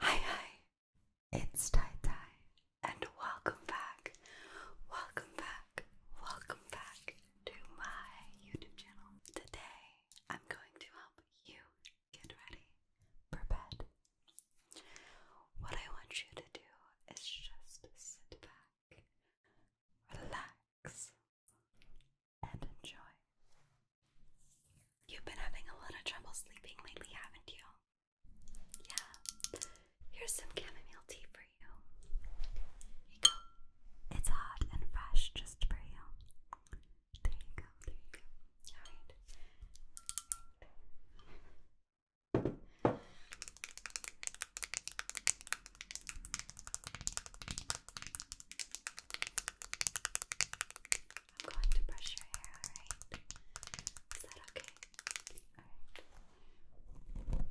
Hi, hi, it's Tai and welcome back, welcome back, welcome back to my YouTube channel. Today, I'm going to help you get ready for bed. What I want you to do is just sit back, relax, and enjoy. You've been having a lot of trouble sleeping lately, haven't you? Yeah. Here's some chamomile tea for you. Here you go. It's hot and fresh just for you. There you go, there you go. Alright. I'm going to brush your hair, alright? Is that okay? Alright.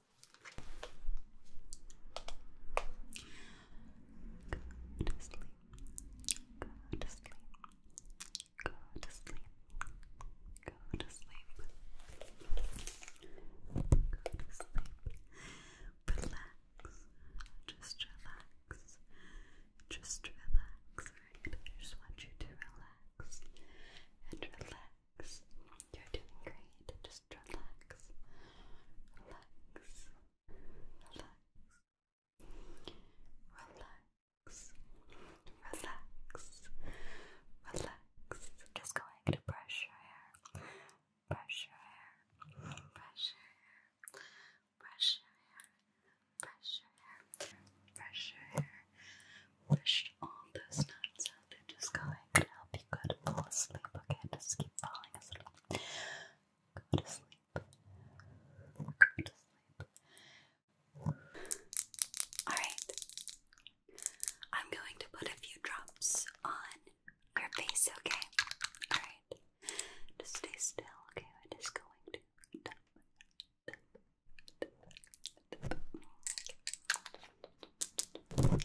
Go to sleep. Go to sleep. Go to sleep. Go to sleep. Go to sleep. Relax. Just relax. Just relax. I just want you to relax and relax. You're doing great. Just relax. Relax. Relax. Relax. Relax. Relax. Just go ahead brush your hair. Brush your hair. Brush your hair. Brush your hair. Brush your hair. Brush your hair. Brush all those knots out just go I help you go to fall asleep, Just keep falling asleep. Go to sleep. Go to sleep. Alright. I'm going to put a few drops on your face, okay? Alright. Just stay still, okay? I'm just going to just relax.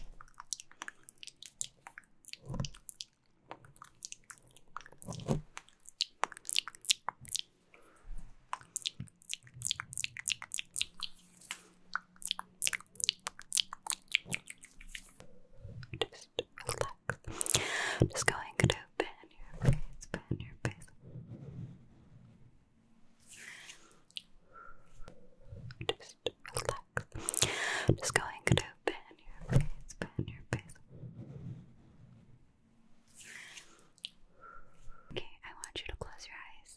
I'm just going to pan your face, pan your face. Just relax. just going to pan your face, pan your face. Okay, I want you to close your eyes.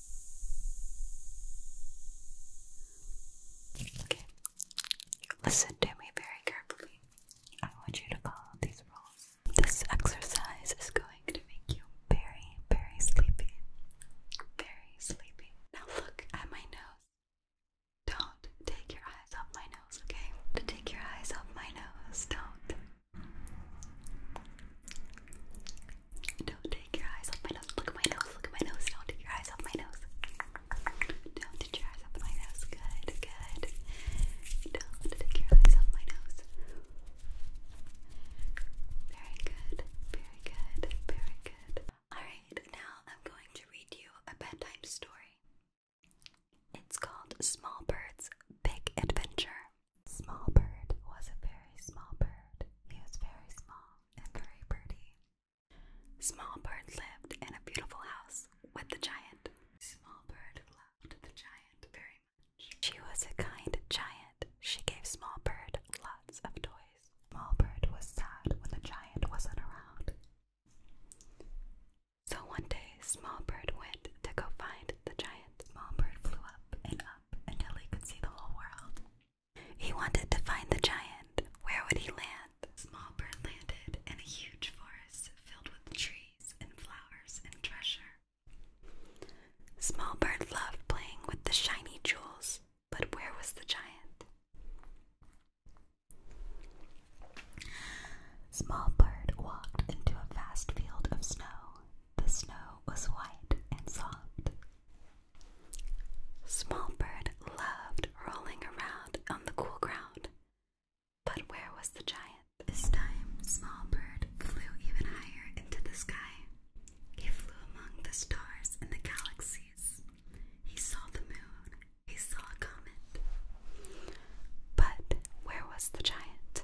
Okay. Listen to me very carefully. I want you to follow these rules. This exercise is going to make you very, very sleepy. Very sleepy. Now look at my nose. Don't take your eyes off my nose, okay? To take your eyes off my nose. Don't. Don't take your eyes off my nose. Look at my nose. Look at my nose. Don't take your eyes off my nose. Don't take your eyes off my nose. Good, good. Don't take your eyes off my nose. Very good. Very good. Very good. Alright, now I'm going to read you a bedtime story. It's called Small Bird's Big Adventure. Small Bird was a very small bird. He was very small and very pretty. Small Bird lived in a beautiful house with the giant. Small Bird loved the giant very much. She was a kind giant. She gave Small Bird lots of toys. Small Bird was sad when the giant wasn't around. So one day, Small Bird went to go find the giant. Small Bird flew up and until he could see the whole world. He wanted to find the giant. Where would he land? Small Bird landed in a huge forest filled with trees and flowers and treasure. Small Bird loved playing with the shiny jewels, but where was the giant? Small Bird walked into a vast field of snow the snow was white and soft. Small Bird loved rolling around on the cool ground. But where was the giant? This time, Small Bird flew even higher into the sky. He flew among the stars and the galaxies. He saw the moon. He saw a comet. But where was the giant?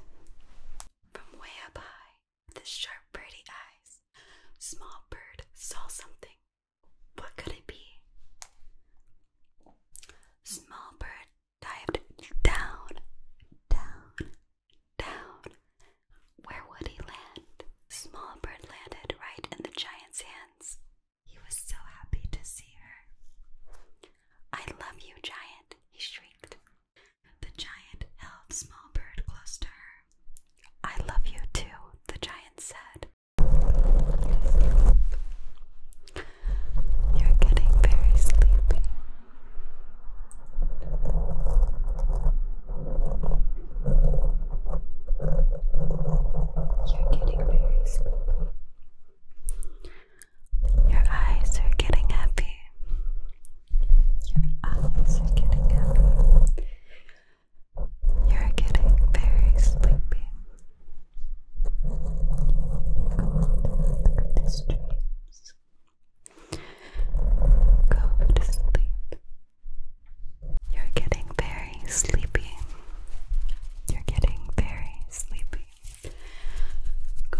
From way up high, the sharp, pretty eyes, Small Bird saw something. What could it be? Small Bird dived down, down, down. Where would he land? Small Bird landed right in the giant's hands. He was so happy to see her. I love you, giant, he shrieked. The giant held Small Bird close to her. I love you too, the giant said. You're getting very sleepy. You're getting very sleepy. Your eyes are getting happy. Your eyes are getting happy. You're getting very sleepy. You're this Go to sleep. You're getting very sleepy. You're getting very sleepy. Go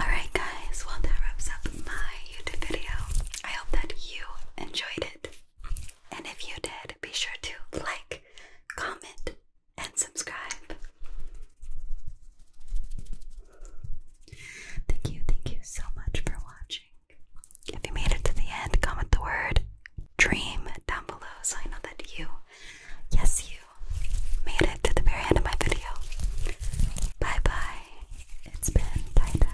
Alright, guys, well, that wraps up my YouTube video. I hope that you enjoyed it. And if you did, be sure to like, comment, and subscribe. Thank you, thank you so much for watching. If you made it to the end, comment the word dream down below so I know that you, yes, you made it to the very end of my video. Bye bye. It's been tie